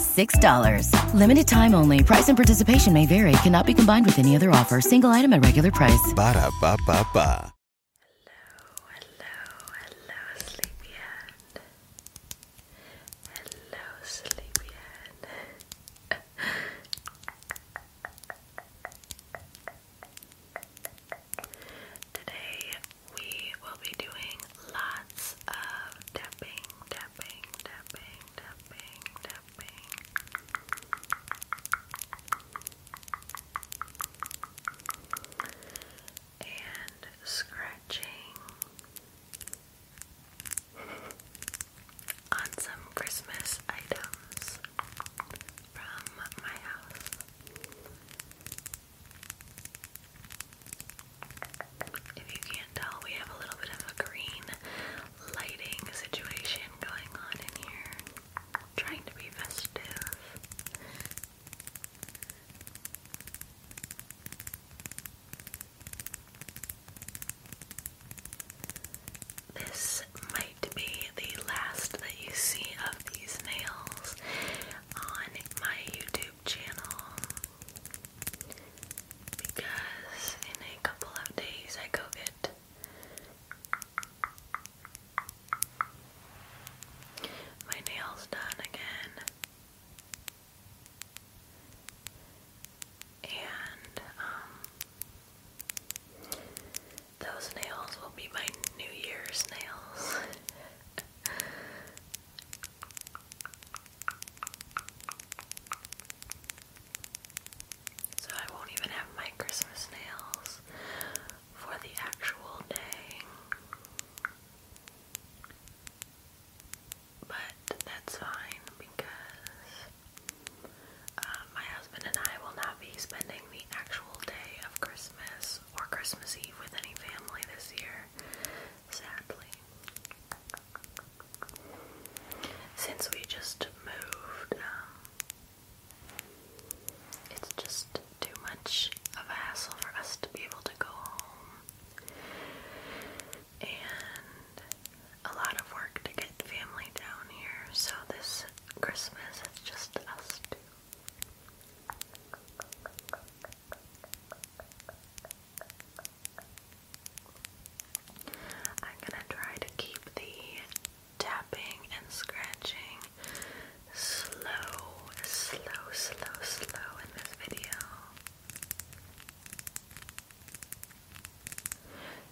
$6. Limited time only. Price and participation may vary. Cannot be combined with any other offer. Single item at regular price. Ba da ba ba ba. Hello, hello, hello, sleepyhead. Hello, sleepyhead. Today we will be doing Lots of tapping, tapping, tapping, tapping, tapping. And scratching on some Christmas items from my house. If you can't tell, we have a little bit of a green lighting situation going on in here. Trying to be festive. This might be the last that you see of these nails on my YouTube channel because in a couple of days I go get my nails done again. And um those nails will be my New Year's nails. So I won't even have my Christmas nails for the actual day. But that's fine because uh, my husband and I will not be spending the actual day of Christmas or Christmas Eve with any family this year, sadly. Since we just moved, um, it's just too much of a hassle for us to be able to go home. And a lot of work to get family down here, so this Christmas it's just us two. I'm gonna try to keep the tapping and scratching slow, slow, slow, slow in this video.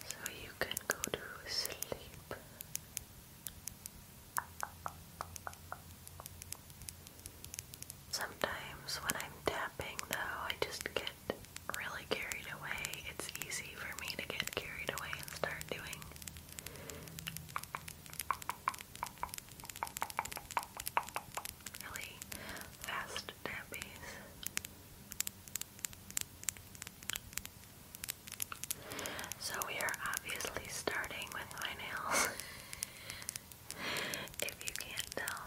So you can go to sleep. Sometimes when I'm tapping, though, I just get really carried away. It's easy for me to get carried away and start doing really fast tappies. So we are obviously starting with my nails. if you can't tell.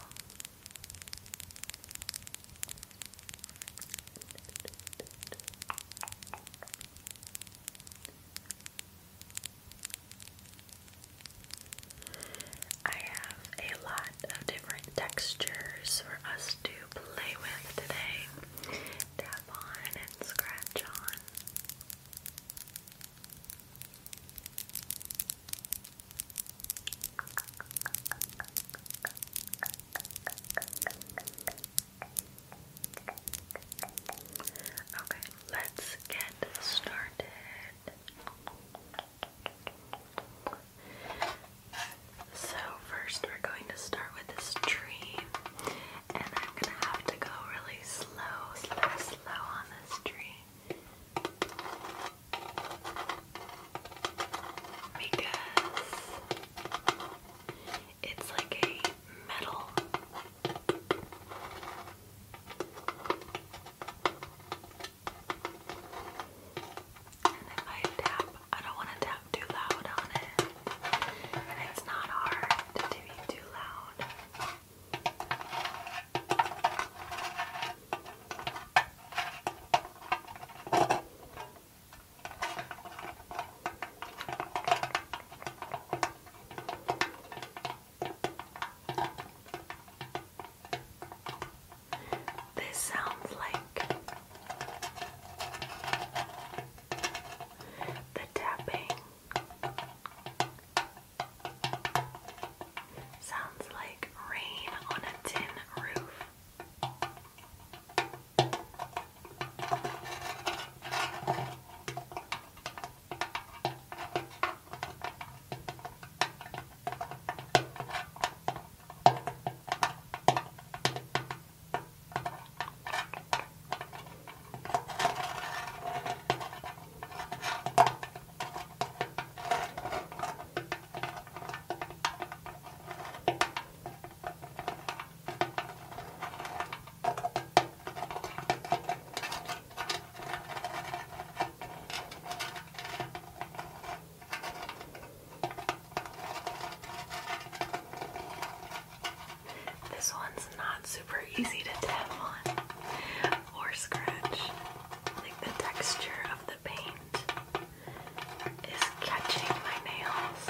I have a lot of different textures for us to play with today. Tap on and scratch on. Okay, let's get started. So, first, we're going to start with this tree, and I'm gonna have to go really slow, slow, slow on this tree because it's like a metal. And if I tap, I don't want to tap too loud on it. And it's not hard to be too loud. This sounds like the tapping Sounds like rain on a tin roof. This one's not super easy to tap on, or scratch. Like the texture of the paint is catching my nails.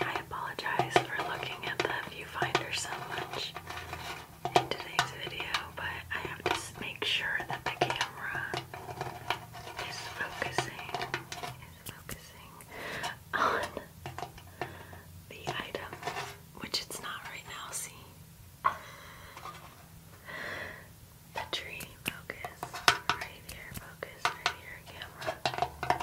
I apologize for looking at the viewfinder so much in today's video, but I have to make sure that the camera is focusing focusing on the items which it's not right now, see? The tree, focus. Right here, focus. Right here, camera.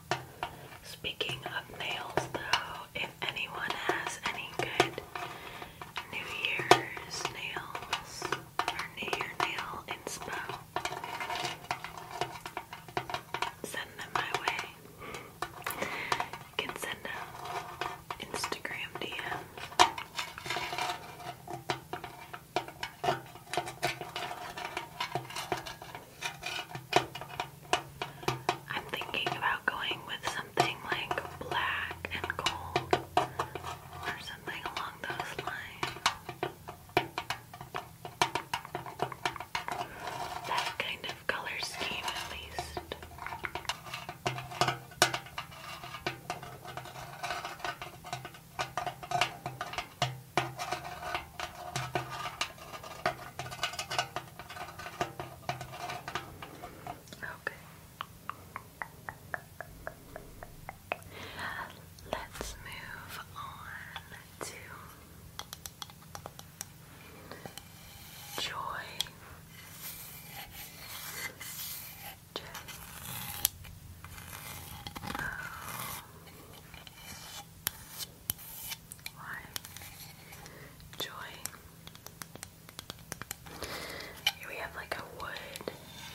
Speaking of nails, though, if anyone has any good New Year's nails or New Year nail inspo, send them my way. You can send them Instagram DMs. I'm thinking about going with something like black and gold or something along those lines. That kind of color scheme, at least. Okay. Let's move on to joy. J. O. Joy. Here we have like a wood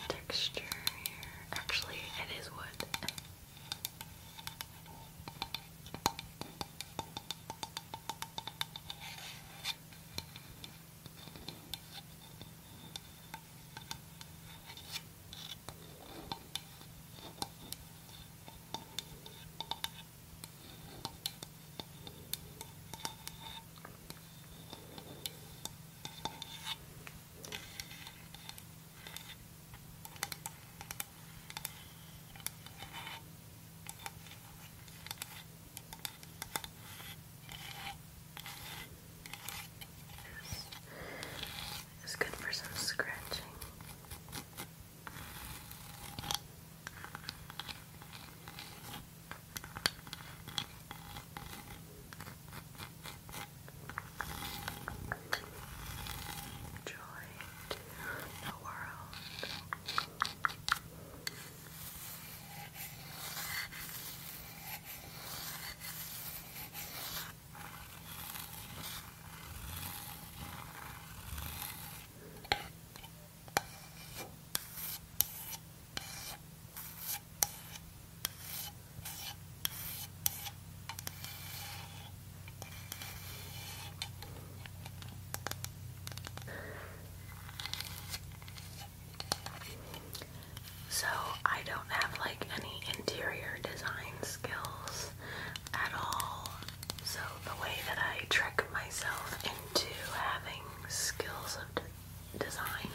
texture here. Actually, it is wood. It's good for some scratching. Joy to the world. So, I don't have like any interior design skills at all. So, the way that I trick myself into having skills of design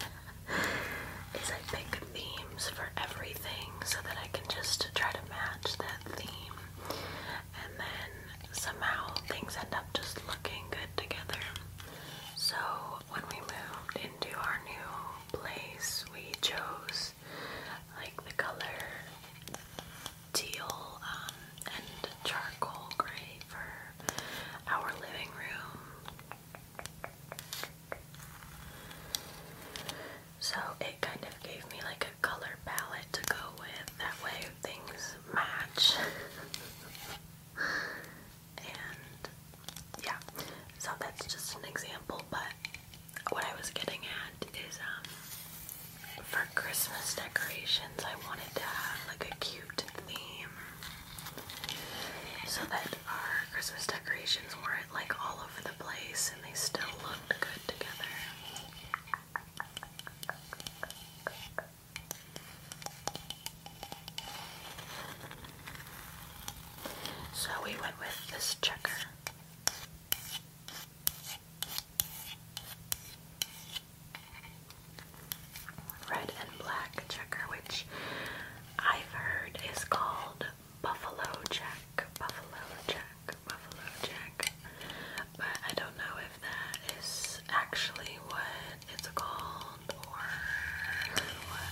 is I pick themes for everything so that I can just try to match that theme and then somehow things end up just looking good together. So when we moved into our new place, we chose like the color teal um, and charcoal gray for our living room. So it kind of gave me like a color palette to go with, that way things match. and yeah, so that's just an example, but what I was getting at is um, for Christmas decorations I wanted to have like a cute theme so that our Christmas decorations weren't like all over the place and they still looked good together. So we went with this checker. Red and black checker, which I've heard is called Buffalo Jack, Buffalo Jack, Buffalo Jack. But I don't know if that is actually what it's called or what.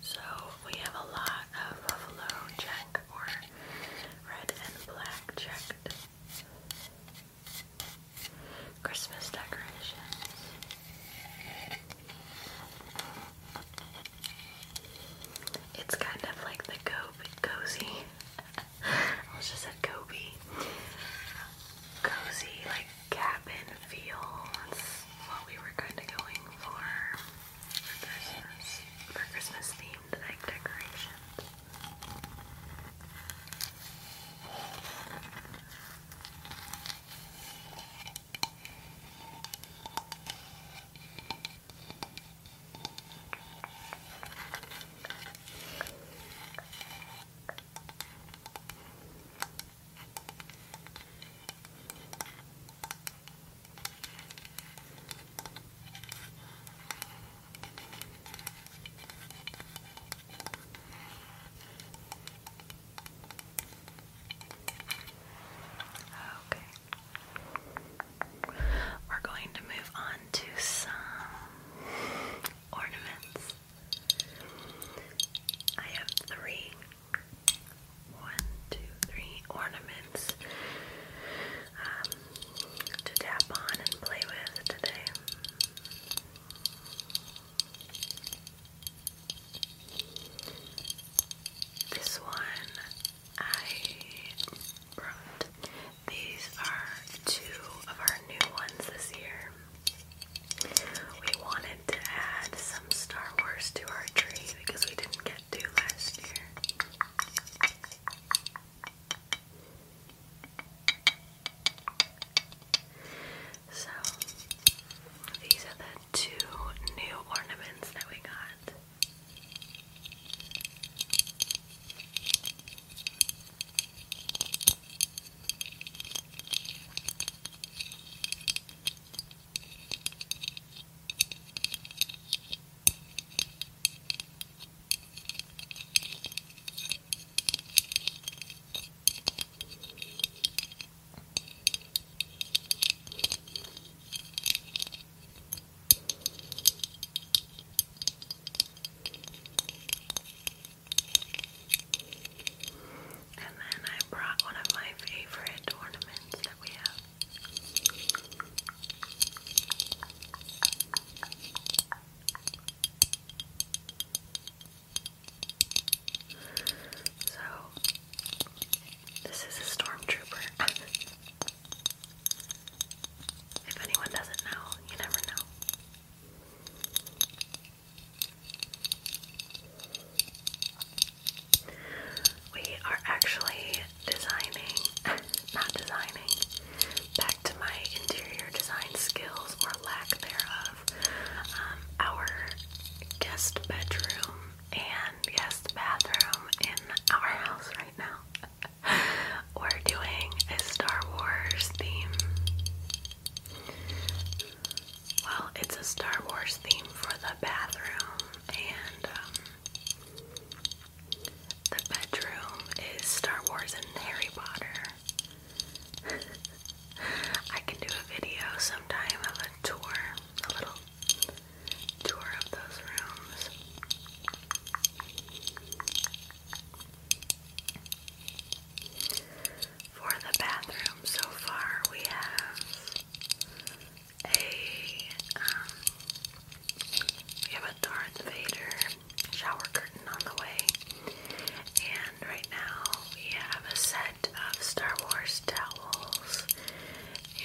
So we have a lot of buffalo check or red and black checked Christmas decorations. It's kind of like the cozy. I was just said Kobe. Cozy, like cabin feel. That's what we were kind of going for. Yes. For Christmas themed egg decoration. Okay. We're going to move on to some ornaments. I have three one, two, three ornaments um, to tap on and play with today. This one I brought. These are two of our new ones this year. We wanted to add some Star Wars to our tree because we didn't get did do So, these are the two new ornaments that we got. And then I brought one of my favorite ornaments that we have so, this is a stormtrooper. if anyone doesn't know, you never know. We are actually designing, not designing, back to my interior design skills or lack thereof, um, our guest bedroom and guest bathroom in our house right now. We're doing a Star Wars theme. Well, it's a Star Wars theme for the bathroom, and um, the bedroom is Star Wars and Harry Potter. I can do a video sometime of a tour, a little tour of those rooms. For the bathroom so far, we have um, we have a Darth Vader shower curtain on the way. And right now we have a set of Star Wars towels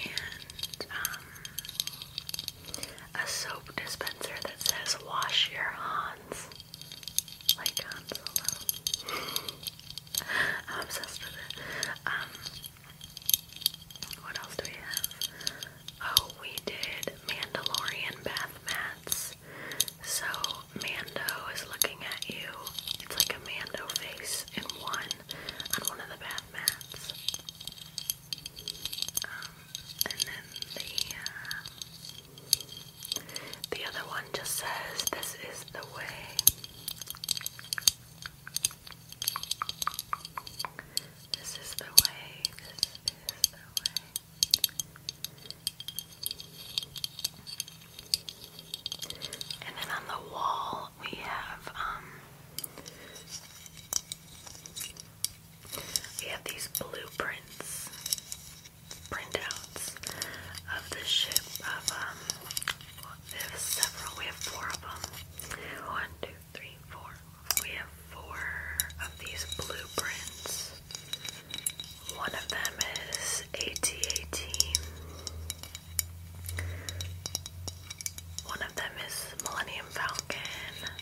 and um, a soap dispenser that says wash your Hans. Like Hans alone. I'm obsessed with it. Um, what else do we have? Oh, we did Mandalorian bath mats. So Mando is looking at you. It's like a Mando face in one on one of the bath mats. Um, and then the uh, the other one just says, "This is the way." This is the way, this is the way. And then on the wall we have um we have these blueprints printouts of the ship of um we several we have four of them. One, two, three, four. We have four of these blueprints. One of them is AT-AT. One of them is Millennium Falcon.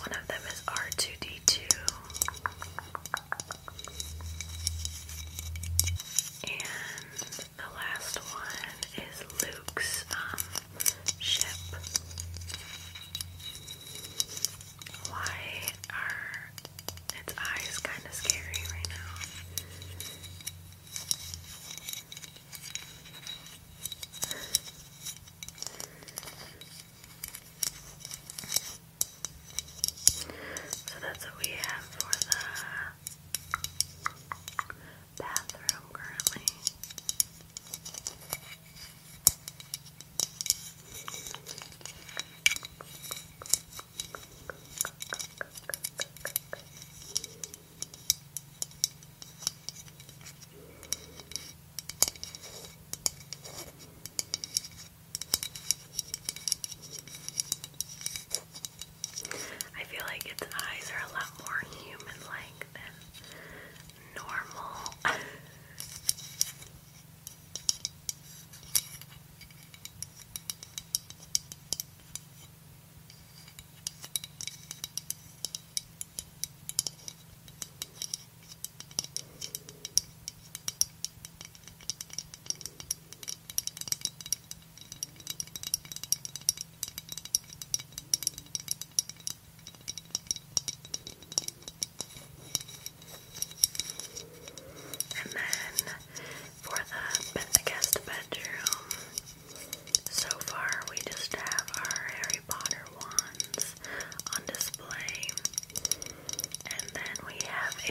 One of them is R2D2. And the last one is Luke's um, ship. Why are its eyes kind of scary right now? So that's what we have for the bathroom currently. I feel like its eyes are a lot more human like than normal. And then for the I guess bedroom, so far we just have our Harry Potter wands on display. And then we have a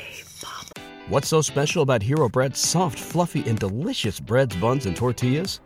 What's so special about Hero Bread's soft, fluffy, and delicious breads, buns, and tortillas?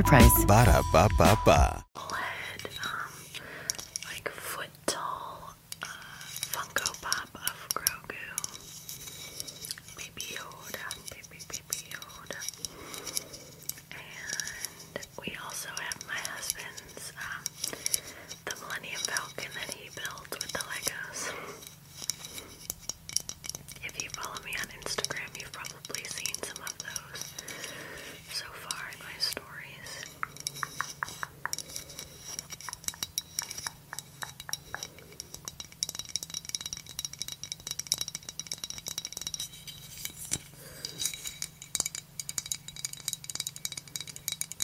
regular price. Ba da ba ba ba. Head, um, like foot tall uh, Funko Pop of Grogu, Baby Yoda, Baby Baby Yoda, and we also have my husband's um, the Millennium Falcon that he built with the Legos. If you follow me on Instagram, you've probably seen some of those so far in my stories.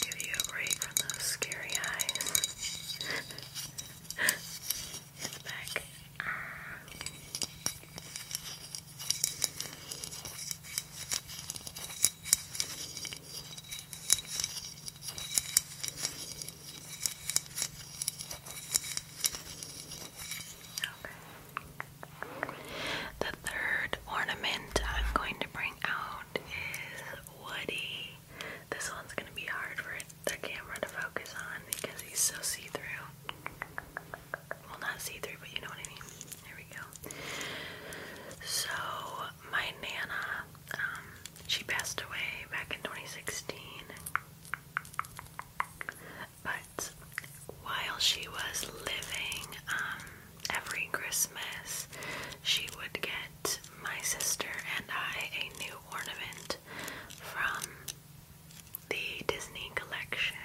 Give you a break from those scary eyes. the third ornament I'm going to bring out is Woody. This one's going to be hard for it the camera to focus on because he's so see through. Well, not see through, but you know what I mean. There we go. So, my Nana, um, she passed away back in 2016. But while she was living, um, every Christmas, she would get my sister and I a new ornament from the Disney collection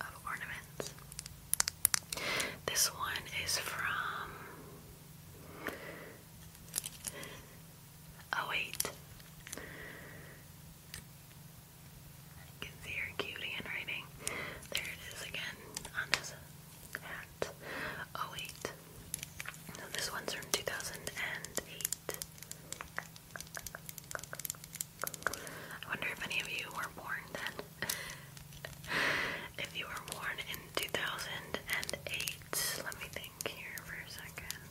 of ornaments. This one is from oh wait. You can see her cutie handwriting. There it is again on this hat. Oh wait. this one's from 2008. I wonder if any of you were born then. if you were born in 2008, let me think here for a second.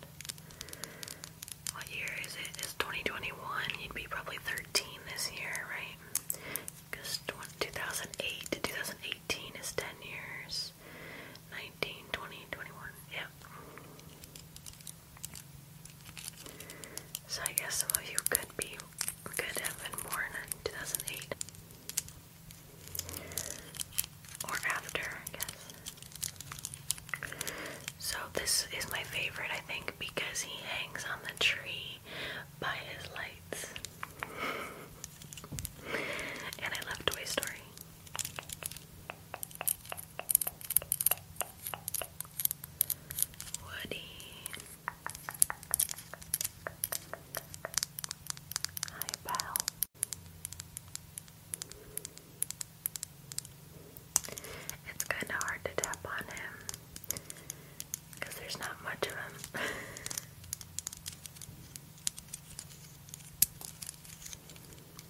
What year is It's 2021. You'd be probably 13 this year, right? Because 2008 to 2018 is 10 years. 19, 20, So I guess some of you could be could have been born in 2008 or after, I guess. So this is my favorite, I think, because he hangs on the tree by his lights. and I love Toy Story. Woody. Hi, pal. It's kind of hard to tap on him because there's not much of him.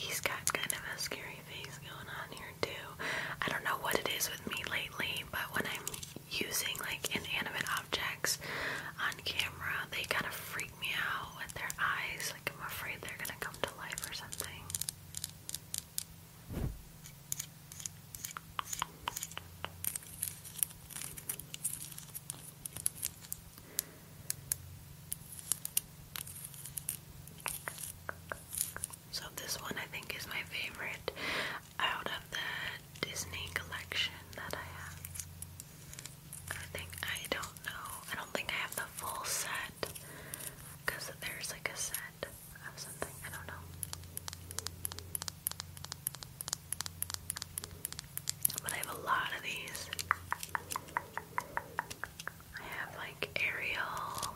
He's got kind of a scary face going on here too. I don't know what it is with me lately, but when I'm using like inanimate objects on camera, they kind of freak me out with their eyes. Like I'm afraid they're gonna come to life or something. So this one I think is my favorite out of the Disney collection that I have. I think I don't know. I don't think I have the full set because there's like a set of something. I don't know. But I have a lot of these. I have like Ariel.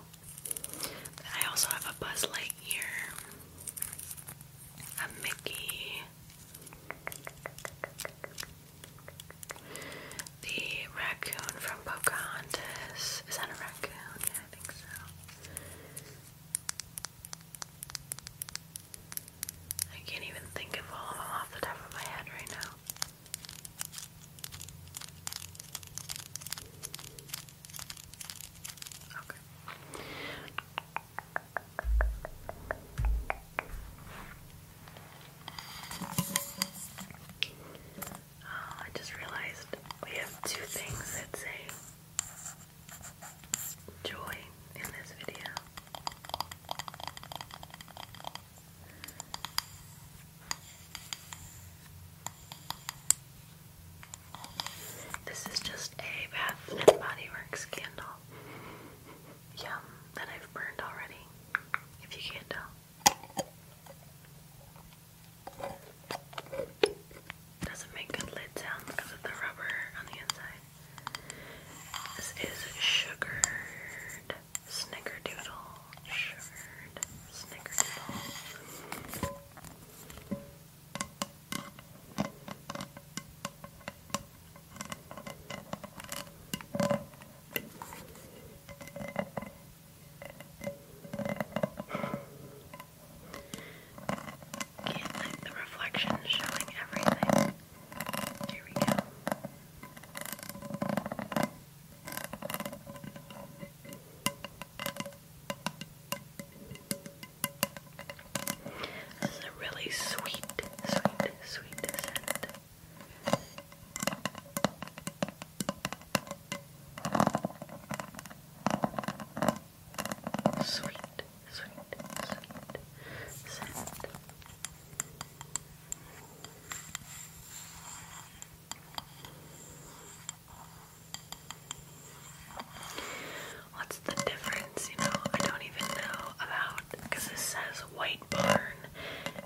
I also have a Buzz Lightyear, a Mickey, the raccoon from Pocahontas. Is that a raccoon? Yeah, I think so. I can't even think of all of them off the top of my head right now. Okay. Oh, I just realized we have two things that say joy in this video. This is just a Bath and Body Works candle. Yum, that I've burned already, if you can't tell. Doesn't make good lid sound because of the rubber on the inside. This is sugared Snickerdoodle, sugared Snickerdoodle. Can't let the reflection showing everything. Here we go. This is a really sweet, sweet, sweet scent. Sweet, sweet, sweet scent. What's the difference? You know, I don't even know about because this says White Barn,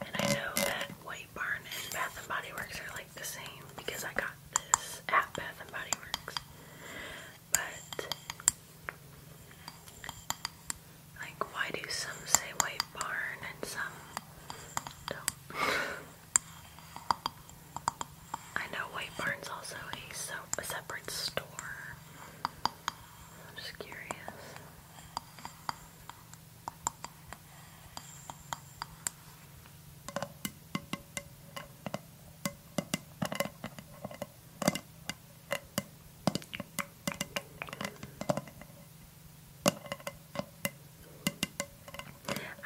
and I know that White Barn and Bath and Body Works are like the same because I got this at Bath and Body Works. But like, why do some say white barn and some don't? I know White Barn's also a, so a separate store. I'm just curious.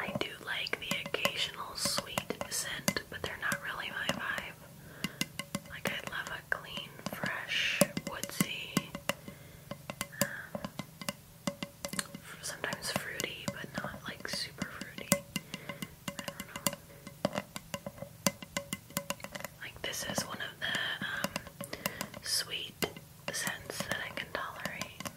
I do like the occasional sweet scent, but they're not really my vibe. Like, I love a clean, fresh, woodsy, um, sometimes fruity, but not like super fruity. Like, this is one of the um, sweet the sense that I can tolerate.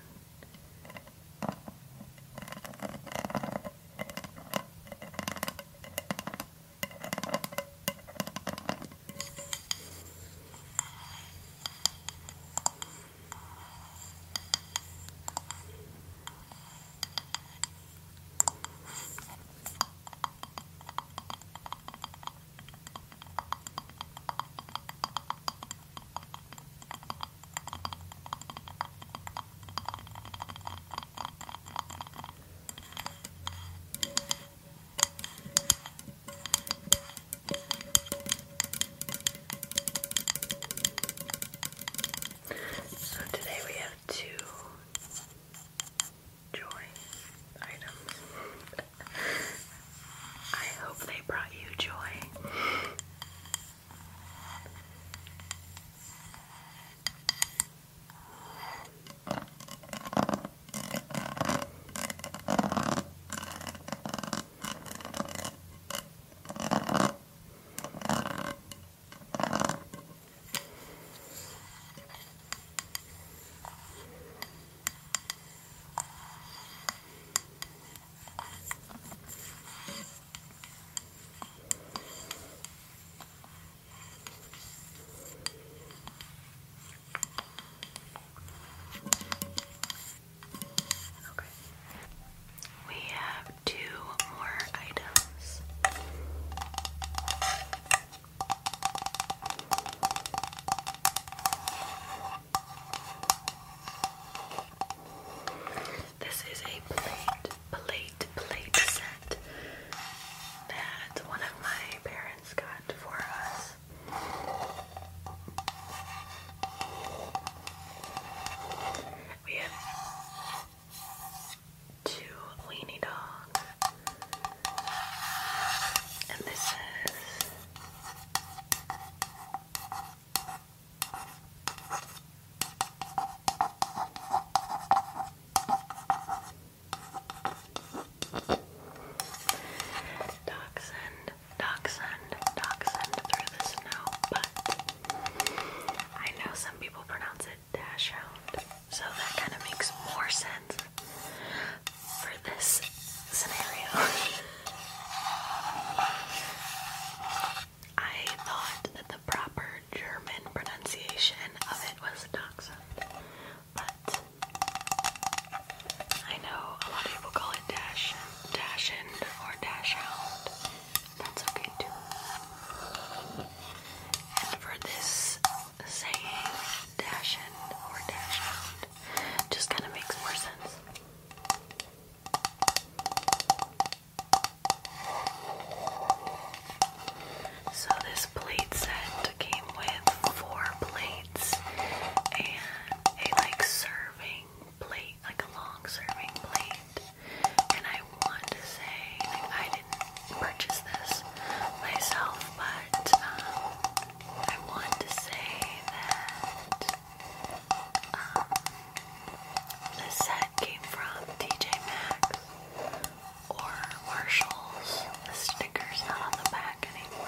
So today we have two joy items. I hope they brought you joy. Okay. We have two more items. This is a plate, plate, plate set that one of my parents got for us. We have two weenie dogs. And this is Dachshund, dachshund, dachshund through the snow, but I know some people pronounce it dash so that kind of makes more sense for this scenario. I thought that the proper German pronunciation of it was dachshund, but I know a lot of people call it dash, dashend, or dashhound. That's okay too. And for this saying, dashend or dashhound, just kind of makes more sense. So, this plate set came with four plates and a like serving plate, like a long serving plate. And I want to say, I didn't purchase this myself, but um, I want to say that um, set came from TJ Maxx or Marshalls. The sticker's not on the back anymore.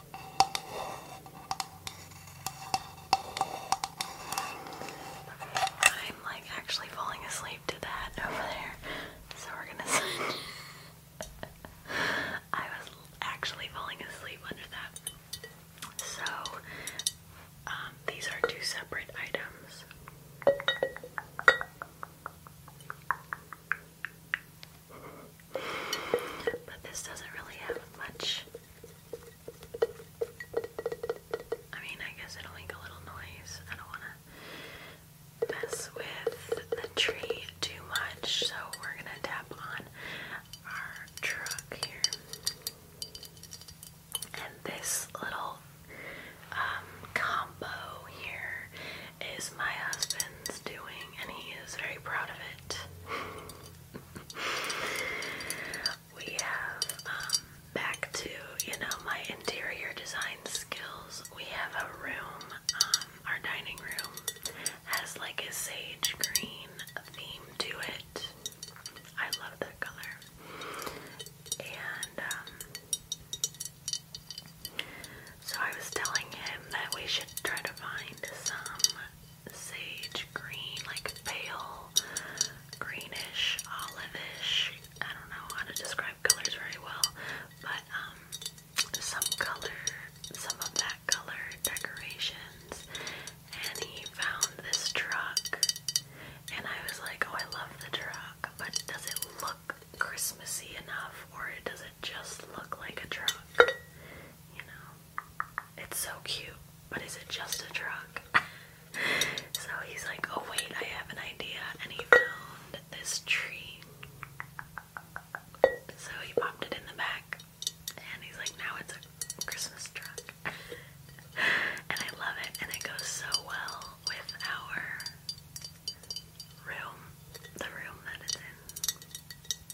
I'm like actually falling asleep to that over there, so we're gonna I was actually falling asleep under that. So, um, these are two separate items. But this doesn't really have much. I mean, I guess it'll make a little noise. I don't want to mess with the tree too much, so we're going to tap on our truck here. And this little um, combo here is my husband's doing, and he is very proud of it we have um, back to you know my interior design skills. We have a room. Um, our dining room has like a sage green theme to it. I love that color. And um, so I was telling him that we should try to find some sage green, like pale greenish, olivish. I don't know how to describe colors very well, but um, some color, some of that color decorations. And he found this truck, and I was like, oh, I love the truck, but does it look Christmassy enough, or does it just look like a truck? You know, it's so cute, but is it just a truck? so he's like, oh wait, I have an idea, and he found this tree. So he popped it in the back, and he's like, now it's a Christmas truck. and I love it, and it goes so well with our room, the room that it's in.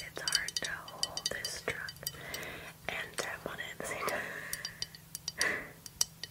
It's hard to hold this truck and tap on it at the same time.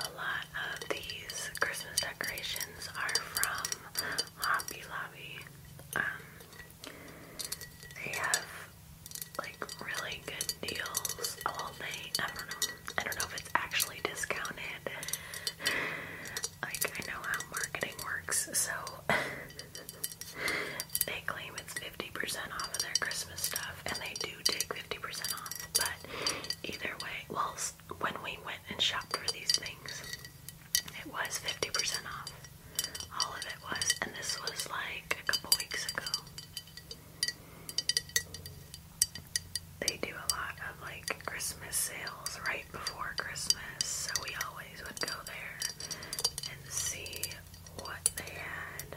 a lot of these Christmas decorations are from Hobby Lobby. Um, they have like really good deals all day. I don't know. I don't know if it's actually discounted. Like I know how marketing works, so they claim it's 50% off of their Christmas stuff, and they do take 50% off. But either way, well, last when we went and shopped for these things, it was 50% off. All of it was, and this was like a couple weeks ago. They do a lot of like Christmas sales right before Christmas, so we always would go there and see what they had.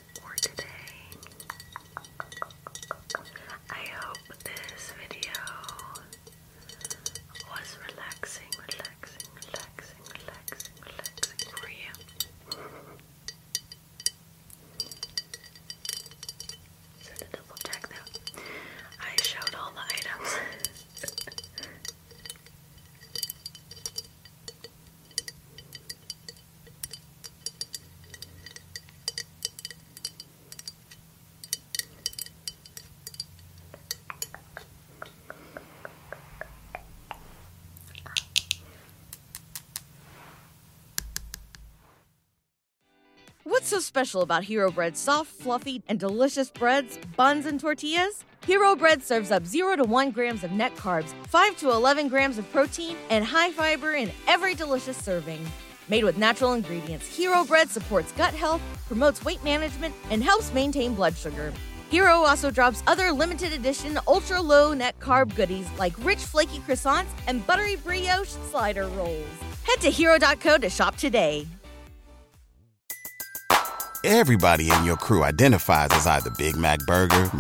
for today. I hope this video was relaxing, relaxing, relaxing, relaxing, relaxing for you. So to double check though, I showed all the items. What's so special about Hero Bread? soft, fluffy, and delicious breads, buns, and tortillas? Hero Bread serves up 0 to 1 grams of net carbs 5 to 11 grams of protein, and high fiber in every delicious serving. Made with natural ingredients, Hero Bread supports gut health, promotes weight management, and helps maintain blood sugar. Hero also drops other limited edition ultra low net carb goodies like rich flaky croissants and buttery brioche slider rolls. Head to hero.co to shop today. Everybody in your crew identifies as either Big Mac burger,